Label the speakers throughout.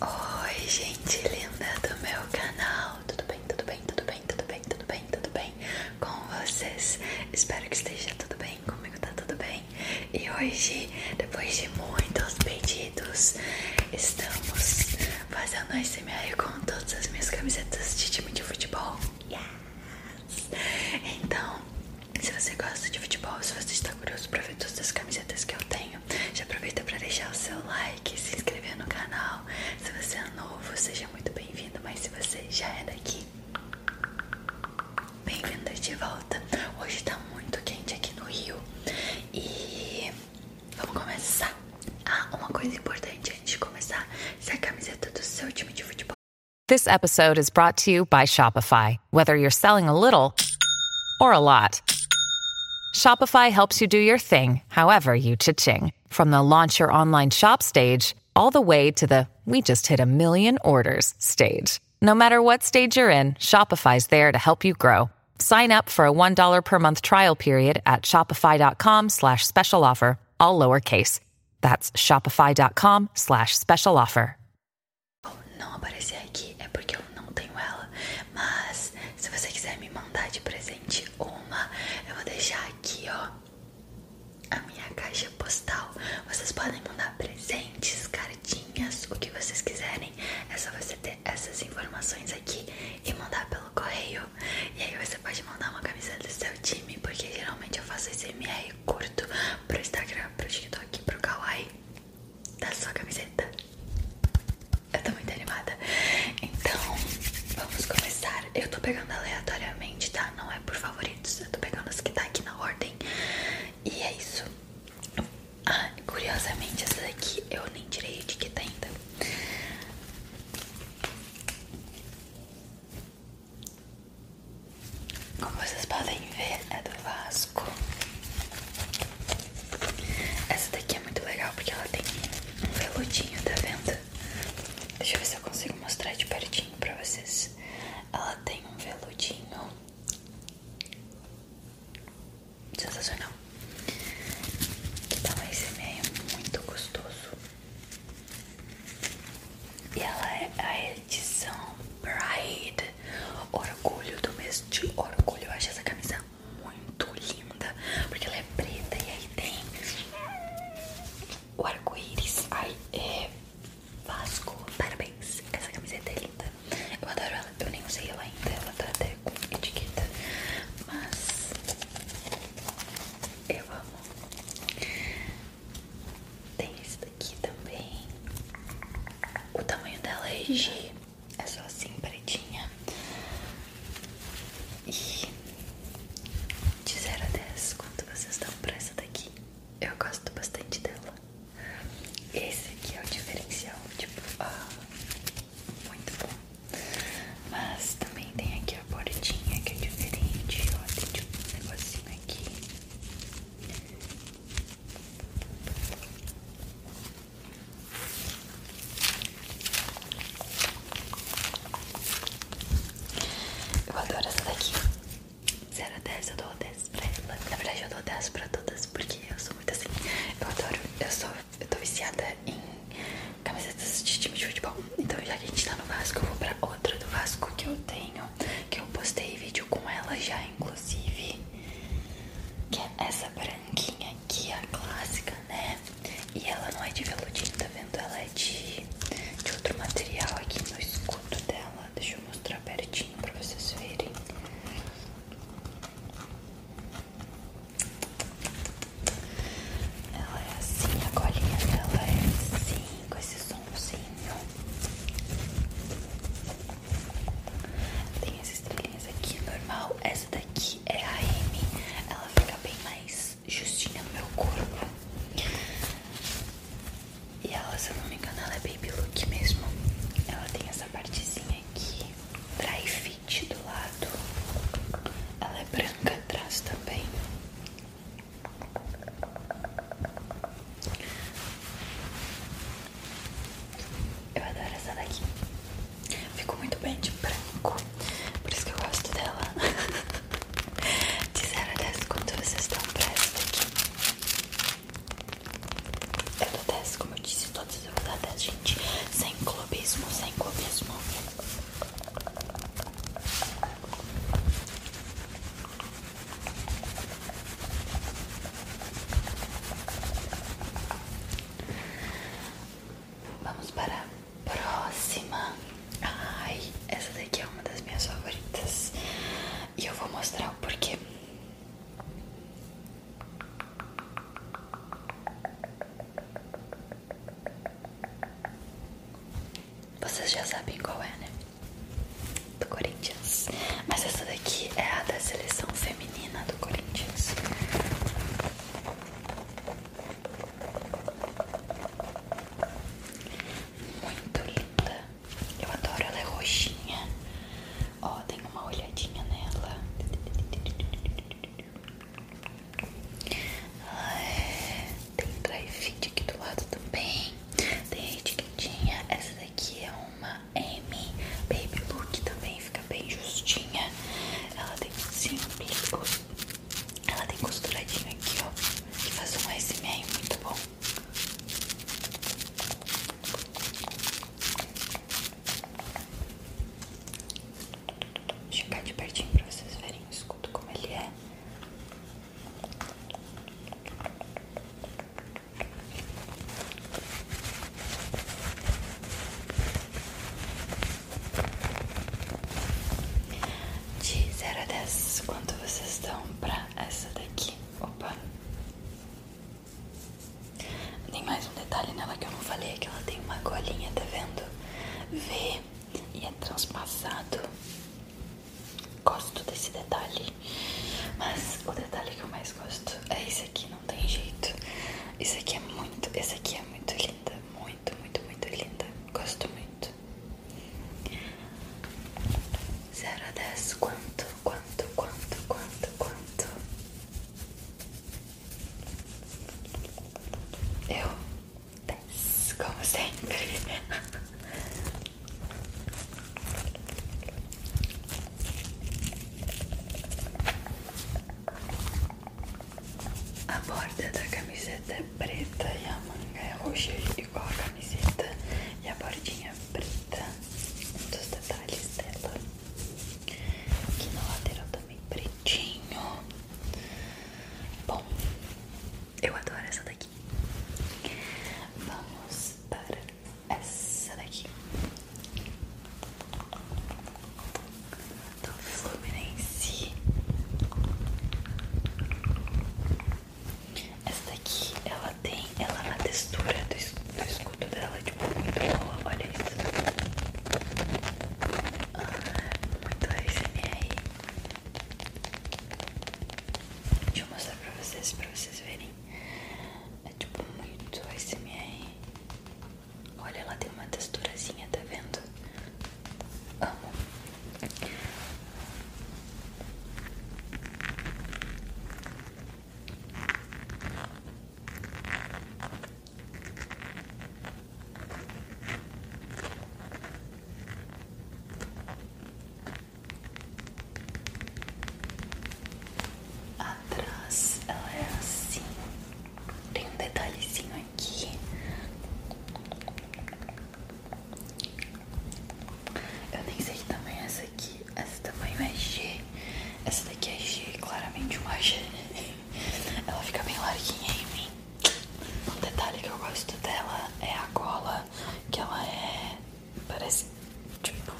Speaker 1: Oi, gente linda do meu canal. Tudo bem? Tudo bem? Tudo bem? Tudo bem? Tudo bem? Tudo bem com vocês? Espero que esteja tudo bem comigo, tá tudo bem? E hoje, depois de muitos pedidos, estamos fazendo SMR com todas as minhas camisetas de time de futebol. Yes! Então, se você gosta de futebol, se você está curioso para ver todas as camisetas que eu tenho, já aproveita para deixar o seu like, se inscrever no canal. Se você é novo, seja muito bem-vindo, mas se você já é daqui, bem-vindo de volta. Hoje está muito quente aqui no Rio e vamos começar. Ah, uma coisa importante antes de começar, essa camiseta do seu time de futebol. This episode is brought to you by Shopify. whether you're selling a little or a lot. Shopify helps you do your thing, however you cha-ching. From the launch your online shop stage all the way to the we just hit a million orders stage. No matter what stage you're in, Shopify's there to help you grow. Sign up for a $1 per month trial period at shopify.com slash special offer, all lowercase. That's shopify.com slash special offer. não aparecer aqui é porque eu não tenho ela, mas se você quiser me mandar de presente uma, eu vou deixar aqui, ó, a minha caixa postal. Vocês podem mandar presentes, cartinhas, o que vocês quiserem. É só você ter essas informações aqui e mandar pelo correio. E aí você pode mandar uma camisa do seu time, porque geralmente eu faço esse MR curto pro Instagram, pro TikTok, pro Kawaii da sua camiseta. Eu tô muito animada. Então, vamos começar. Eu tô pegando aleatoriamente, tá? Não é por favoritos. Eu tô pegando as que tá aqui na ordem. E é isso. Ah, curiosamente, essa daqui eu nem tirei a etiqueta ainda. Como vocês podem ver, é do Vasco. Essa daqui é muito legal porque ela tem um veludinho, tá vendo? Deixa eu ver se eu consigo mostrar de pertinho pra vocês. Ela tem um veludinho sensacional. Então esse meio é muito gostoso. E ela é a edição Pride Orgulho do mês de orgulho. Eu acho essa camisa muito linda, porque ela é preta e aí tem o arco-íris. aí é Vasco. Parabéns, essa camiseta é linda. Eu adoro ela, eu nem usei ela ainda. Ela tá até com etiqueta, mas eu amo. Tem esse daqui também. O tamanho dela é G. É só assim, pretinha. E de 0 a 10, quanto vocês dão pra essa daqui? Eu gosto bastante dela. Esse aqui é o diferencial, tipo, ah, muito bom. Mas também tem aqui a bordinha que é diferente, ó, tem tipo um negocinho aqui. Eu adoro essa daqui. 0 a 10, eu dou 10 pra ela. Na verdade, eu dou 10 pra todas, porque eu sou muito assim. Eu adoro, eu sou, eu tô viciada em camisetas de time de futebol. Então, já que a gente tá no Vasco, eu vou pra outra do Vasco que eu tenho, que eu postei vídeo com ela já, inclusive inclusive, que é essa branquinha aqui, a clássica, né? E ela não é de veludinho, tá vendo? Ela é de, de outro material aqui no escudo dela. Deixa eu mostrar pertinho pra vocês verem. Ela é assim, a colinha dela é assim, com esses tem as estrelinhas aqui, normal. Essa daqui é a M. Ela fica bem mais justinha no meu corpo. E ela, se eu não me engano, ela é baby look mesmo. Ela tem essa partezinha aqui, dry fit do lado. Ela é branca atrás também. Eu adoro essa daqui. Ficou muito bem de branco. Por isso que eu gosto dela. de 0 a 10, quanto vocês estão pra essa daqui? Eu dou 10, como eu disse, todas eu vou dar 10, gente. Sem clubismo, sem clubismo. Vamos para a próxima. Ai, essa daqui é uma das minhas favoritas. E eu vou mostrar o porquê. Vocês já sabem qual é, né? do Corinthians. Mas essa daqui é a da seleção feminina do Corinthians. Muito linda. Eu adoro, ela é roxinha. Ó, oh, uma olhadinha nela. Ela é tem dry fit aqui do lado também. Tem a etiquetinha. Essa daqui é uma M Baby Look também. Fica bem justinha. Ela tem simples. Ela tem costuradinho aqui, ó. Que faz um SMR muito bom. Vou chegar de pertinho pra vocês verem escuta como ele é. De 0 a 10, quanto vocês dão pra essa daqui? Opa! Tem mais um detalhe nela que eu não falei, é que ela tem uma colinha, tá vendo? V e é transpassado. Gosto desse detalhe, mas o detalhe que eu mais gosto é esse aqui, não tem jeito. Esse aqui é muito, esse aqui é muito linda, muito, muito, muito linda. Gosto muito. 0 a 10, quanto, quanto, quanto, quanto, quanto? Eu 10, como sempre. A borda da camiseta é preta e a manga é roxa, igual a camiseta, e a bordinha é preta. Um dos detalhes dela. Aqui na lateral também pretinho. Bom, eu adoro essa daqui. Vamos para essa daqui. Do Fluminense. Essa daqui, ela tem, ela na é textura do, escudo dela, tipo, muito boa, olha isso. Ah, muito aí Deixa eu mostrar pra vocês, pra vocês verem. É tipo muito SMR. Olha, ela tem uma texturazinha, tá vendo? Amo. Atrás ela é assim. Tem um detalhezinho aqui. Eu nem sei que tamanho é essa aqui. Essa tamanho é G. Essa daqui é G, claramente uma G. Ela fica bem larguinha em mim. Um detalhe que eu gosto dela é a gola, que ela é. parece. tipo.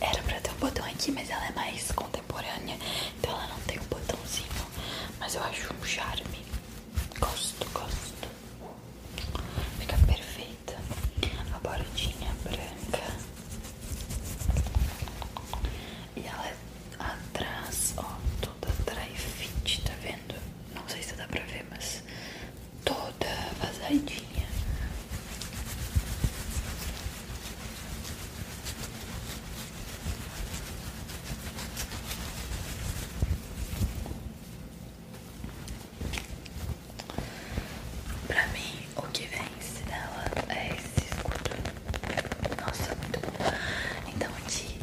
Speaker 1: Era pra ter um botão aqui, mas ela é mais contemporânea, então ela não tem um botãozinho. Mas eu acho um charme. Gosto, gosto. Fica perfeita. A bordinha branca. E ela é atrás, ó, toda dry fit, tá vendo? não sei se dá pra ver, mas toda vazadinha. Pra mim, o que vence dela é esse escudo. Nossa, muito bom. Então, aqui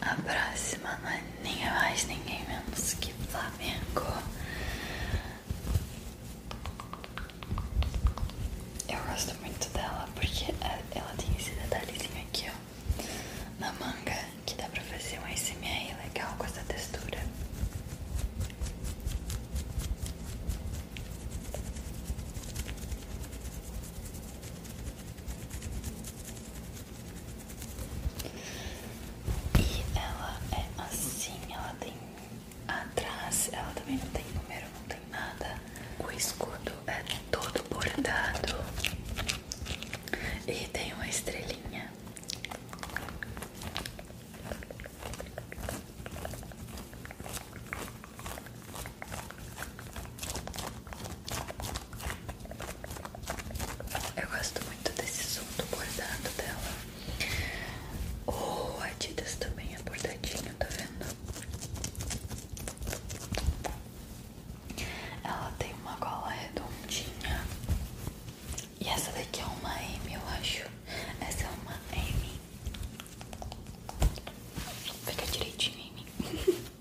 Speaker 1: A próxima não é ninguém mais, ninguém menos que Flamengo. Eu gosto muito dela porque é, ela tem esse detalhezinho aqui, ó, na manga, que dá pra fazer um ASMR legal com essa textura. E ela é assim, ela tem atrás, ela também não tem número, não tem nada. O escudo é todo bordado e tem uma estrelinha. Eu gosto muito desse som do bordado dela. O oh, Adidas também é bordadinho, tá vendo? Ela tem uma gola redondinha. E essa daqui é uma M, eu acho. Essa é uma M. Fica direitinho em mim.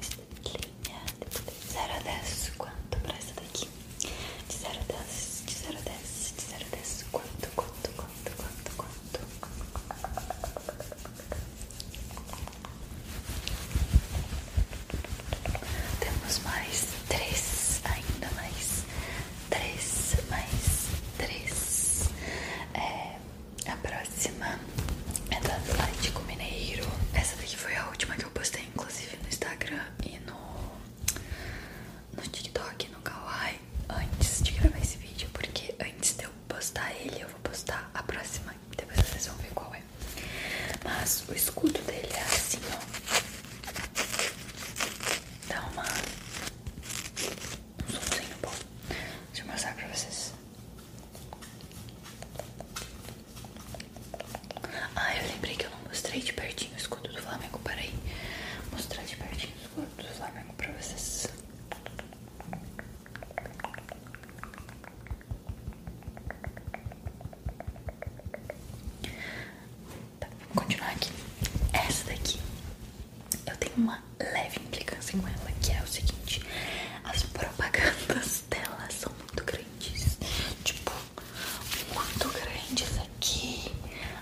Speaker 1: Estrelinha, 0 a 10, quanto pra essa daqui? De 0 a 10, de 0 a dez de 0 a 10, quanto, quanto, quanto, quanto, quanto? Temos mais três, ainda mais três, mais três. É, a próxima é do Atlético Mineiro. Essa daqui foi a última que eu postei, inclusive no Instagram e no, no TikTok, no Kawaii, antes de gravar esse vídeo, porque antes de eu postar ele, eu vou postar a próxima. Depois vocês vão ver qual é. Mas o escudo dele é assim, ó. Dá uma... um somzinho bom. Deixa eu mostrar pra vocês. Ah, eu lembrei que eu não mostrei de pertinho o escudo do Flamengo. Peraí, mostrar de pertinho o escudo do Flamengo pra vocês. Tá, vamos continuar aqui. Essa daqui, eu tenho uma leve implicância com ela, que é o seguinte: as propagandas dela são muito grandes. Tipo, muito grandes aqui,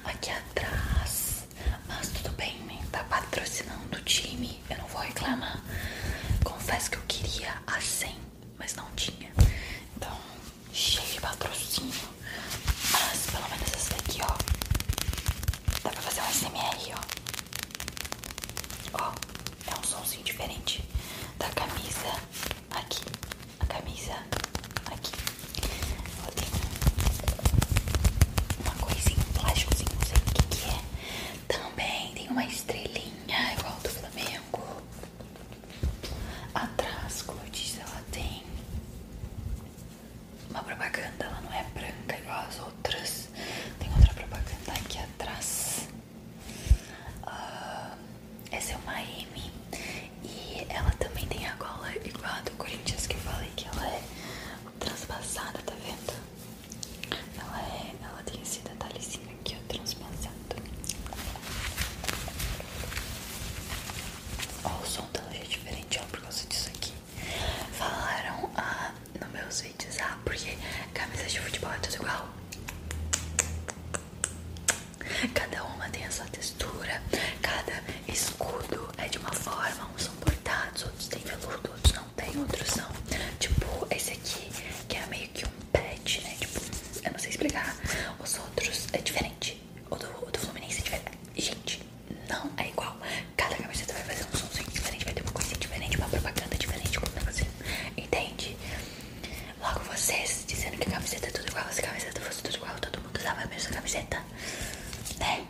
Speaker 1: aqui atrás. Mas tudo bem, né? Tá patrocinando o time, eu não vou reclamar. Confesso que eu queria a 100 mas não tinha. Então, cheio de patrocínio. Mas pelo menos essa daqui, ó. Dá pra fazer um SMR, ó. Ó, é um somzinho diferente da camisa aqui. A camisa aqui. Ela tem uma coisinha, um plásticozinho, não sei o que, que é. Também tem uma estrelinha igual do Flamengo. Atrás, como eu disse, ela tem uma propaganda, ela não é branca igual as outras. Tem outra propaganda aqui atrás. Ah, essa é uma M. E ela também tem a gola igual a do Corinthians que eu falei que ela é transpassada, tá vendo? Ela, é, ela tem esse Aqui eu transpassando. Ó, o som tá hoje é diferente, ó, por causa disso aqui. Falaram ah, no meus vídeos, ah, porque camisas de futebol é tudo igual. Cada uma tem a sua textura, cada escudo é de uma forma, uns são bordados, outros têm veludo, outros não têm, outros são. Tipo, esse aqui que é meio um pet, né? Tipo, eu não sei explicar. Os outros é diferente. O do, o do Fluminense é diferente. Gente, não é igual. Cada camiseta vai fazer um somzinho diferente, vai ter uma coisinha diferente, uma propaganda diferente, como assim. Entende? Logo vocês dizendo que a camiseta é tudo igual, se a camiseta fosse tudo igual, todo mundo usava a mesma camiseta. Né?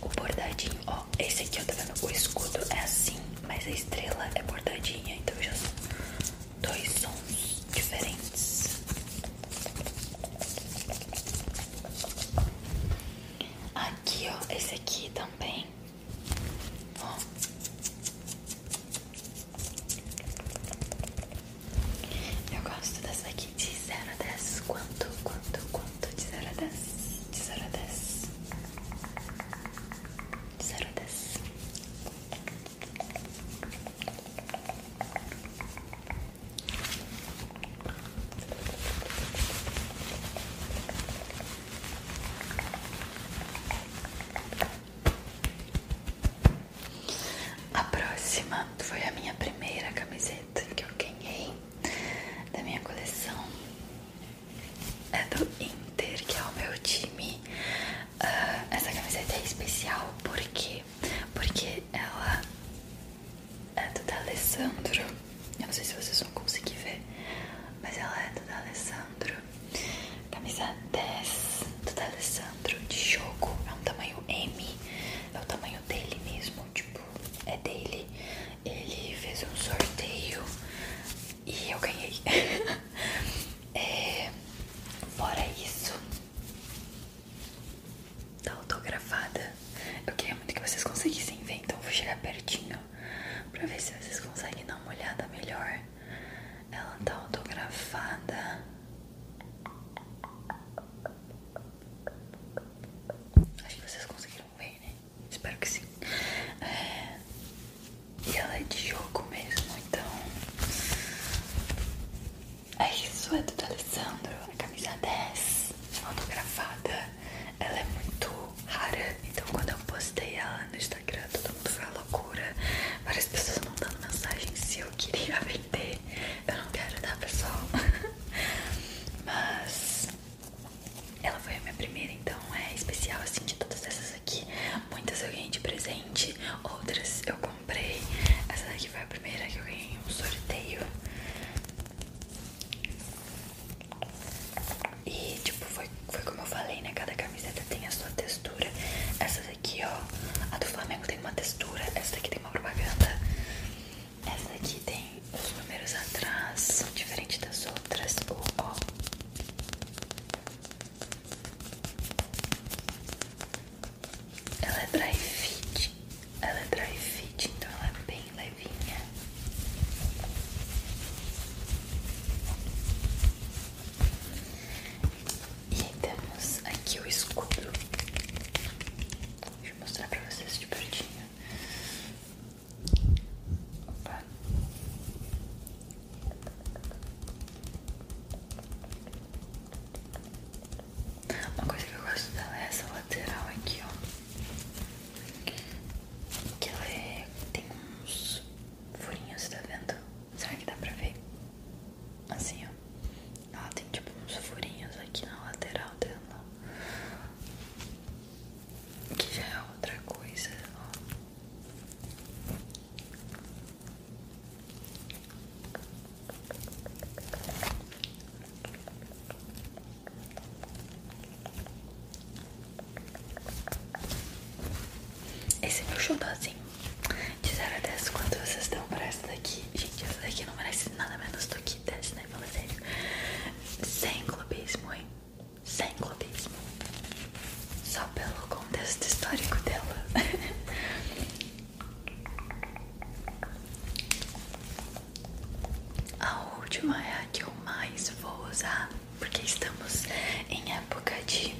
Speaker 1: O bordadinho, ó, esse aqui, ó, tá vendo? O escudo é assim. Mas a estrela é bordadinha, então já são dois sons diferentes. Aqui, ó, esse aqui também. Eu gosto dessa daqui de 0 a 10. Quanto, quanto, quanto? De 0 a 10. De 0 a 10. Sarudas. A próxima foi a minha primeira camiseta que eu ganhei da minha coleção é do Inter, que é o meu time. Ah, essa camiseta é especial porque porque ela é do Alessandro. Eu não sei se vocês vão conseguir ver, mas ela é do Alessandro. Camisa 10 do Alessandro de jogo. É um tamanho M. É o tamanho dele mesmo. Tipo, é dele. Ele fez um sorteio e eu ganhei. é, fora isso, tá autografada. Eu queria muito que vocês conseguissem ver, então vou chegar pertinho pra ver se vocês conseguem dar uma olhada melhor. Ela tá autografada. Acho que vocês conseguiram né? Espero que sim. É, e ela é de jogo mesmo, então. É isso, é do Alessandro. A camisa 10, autografada. Ela é muito rara. Então, quando eu postei ela no Instagram, todo mundo foi a loucura. Várias pessoas mandando mensagem se eu queria vender. Eu não quero tá pessoal. Mas ela foi a minha primeira, então é especial assim de todas essas aqui. Muitas eu ganhei de presente, outras eu comprei. Essa daqui foi a primeira que eu ganhei um sorteio. E tipo, foi, foi como eu falei, né? Cada camiseta tem a sua textura. Essa daqui, ó, a do Flamengo tem uma textura, essa daqui tem uma propaganda. Essa daqui tem os números atrás, são diferentes das outras. O, ó, ela é dry fit, ela é dry fit, então ela é bem levinha. E temos aqui o escudo. Deixa eu mostrar pra vocês de pertinho. Opa. Uma coisa que eu gosto dela é essa lateral aqui, ó. Que ela é, tem uns furinhos, tá vendo? Será que dá pra ver? Assim, ó. Ela tem tipo uns furinhos aqui na lateral dela que já é outra coisa, ó. Esse é meu chubazinho De 0 a 10, quanto vocês estão pra essa daqui? Gente, essa daqui não merece nada menos do que 10, né? Fala sério Sem clubismo, hein? sem clubismo, só pelo contexto histórico dela. a última é a que eu mais vou usar, porque estamos em época de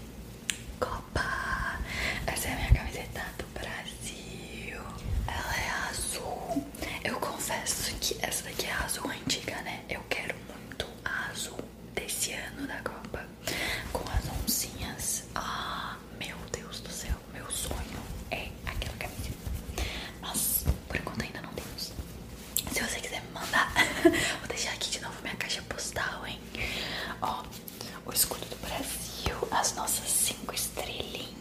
Speaker 1: Copa. Essa é a minha camiseta do Brasil. Ela é azul. Eu confesso que essa daqui é azul antiga, né? Eu quero muito azul desse ano da Copa com as oncinhas. Ah, meu Deus do céu, meu sonho é aquela camisa. Mas por enquanto ainda não temos. Se você quiser me mandar, vou deixar aqui de novo minha caixa postal, hein? Ó, o escudo do Brasil, as nossas cinco estrelinhas.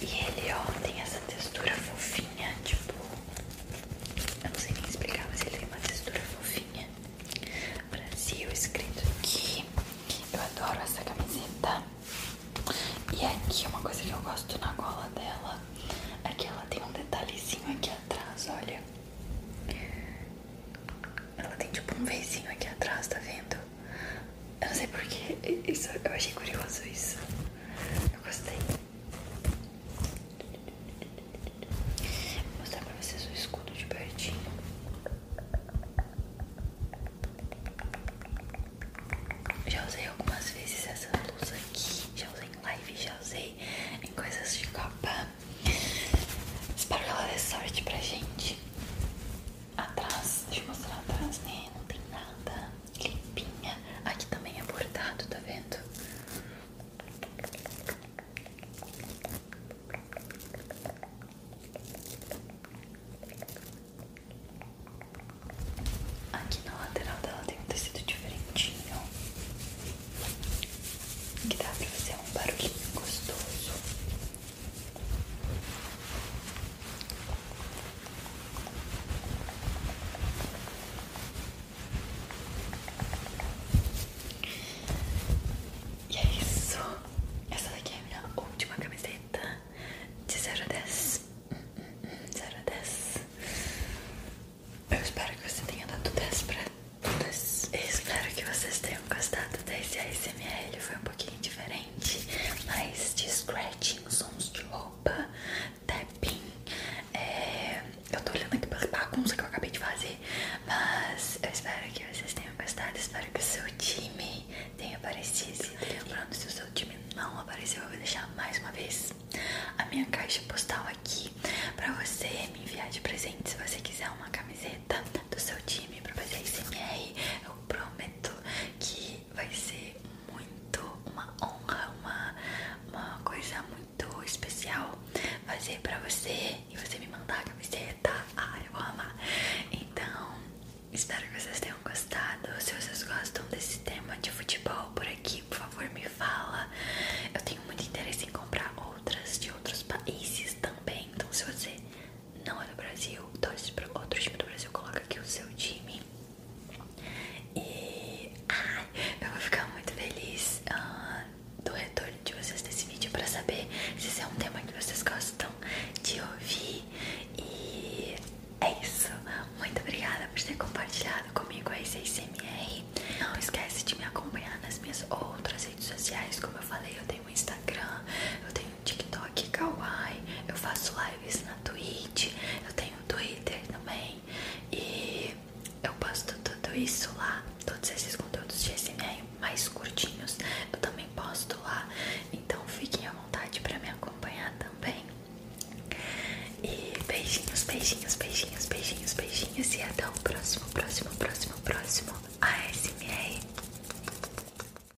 Speaker 1: E ele, ó, tem essa textura fofinha, tipo. Eu não sei nem explicar, mas ele tem uma textura fofinha. Brasil escrito aqui. Eu adoro essa camiseta. E aqui uma coisa que eu gosto na gola dela é que ela tem um detalhezinho aqui atrás, olha. Ela tem tipo um vezinho aqui atrás, tá vendo? Eu não sei porquê, isso, eu achei curioso isso. Eu gostei. Vou mostrar pra vocês o escudo de pertinho. Já usei algumas vezes essa luz aqui. Já usei em live, já usei em coisas de copa. Espero que ela dê sorte pra gente atrás, deixa eu mostrar atrás, né? Não tem nada, limpinha. Aqui também é bordado, tá vendo? Aqui na lateral dela tem um tecido diferentinho que dá pra fazer um barulhinho gostoso. E é isso. Essa daqui é a minha última camiseta de 0 a 10. 0 a 10. Eu espero que você tenha dado 10 pra todas. Eu espero que vocês tenham gostado desse ASMR. Foi um pouquinho diferente mas de scratching, sons de roupa, tapping. É, eu tô olhando aqui pela bagunça que eu acabei de fazer, mas eu espero que vocês tenham gostado. Espero que o seu time tenha aparecido. pronto se o seu time não apareceu, eu vou deixar mais uma vez a minha caixa postal aqui pra você me enviar de presente se você quiser uma camiseta do seu time pra fazer SMR. Eu prometo que vai ser muito uma honra, uma, uma coisa muito especial fazer pra você e você me mandar a camiseta. ai eu vou amar. Então, espero que vocês tenham gostado. Se vocês gostam desse tema de futebol por aqui, por favor, me fala. Eu tenho muito interesse em comprar outras de outros países também. Então, se você não é do Brasil, torce então, para outro time do Brasil, coloca aqui o seu time. E ai, eu vou ficar muito feliz ah, do retorno de vocês desse vídeo para saber se esse é um tema que vocês gostam de ouvir. E é isso. Muito obrigada por ter compartilhado comigo esse ACMR. Não esquece de me acompanhar nas minhas outras redes sociais. Como eu falei, eu tenho Instagram, eu tenho TikTok, Kawaii, eu faço lives na Twitch, eu tenho Twitter também e eu posto tudo isso lá, todos esses conteúdos de SMR mais curtinhos eu também posto lá, então fiquem à vontade para me acompanhar também. E beijinhos, beijinhos, beijinhos, beijinhos, beijinhos e até o próximo, próximo, próximo, próximo a ASMR.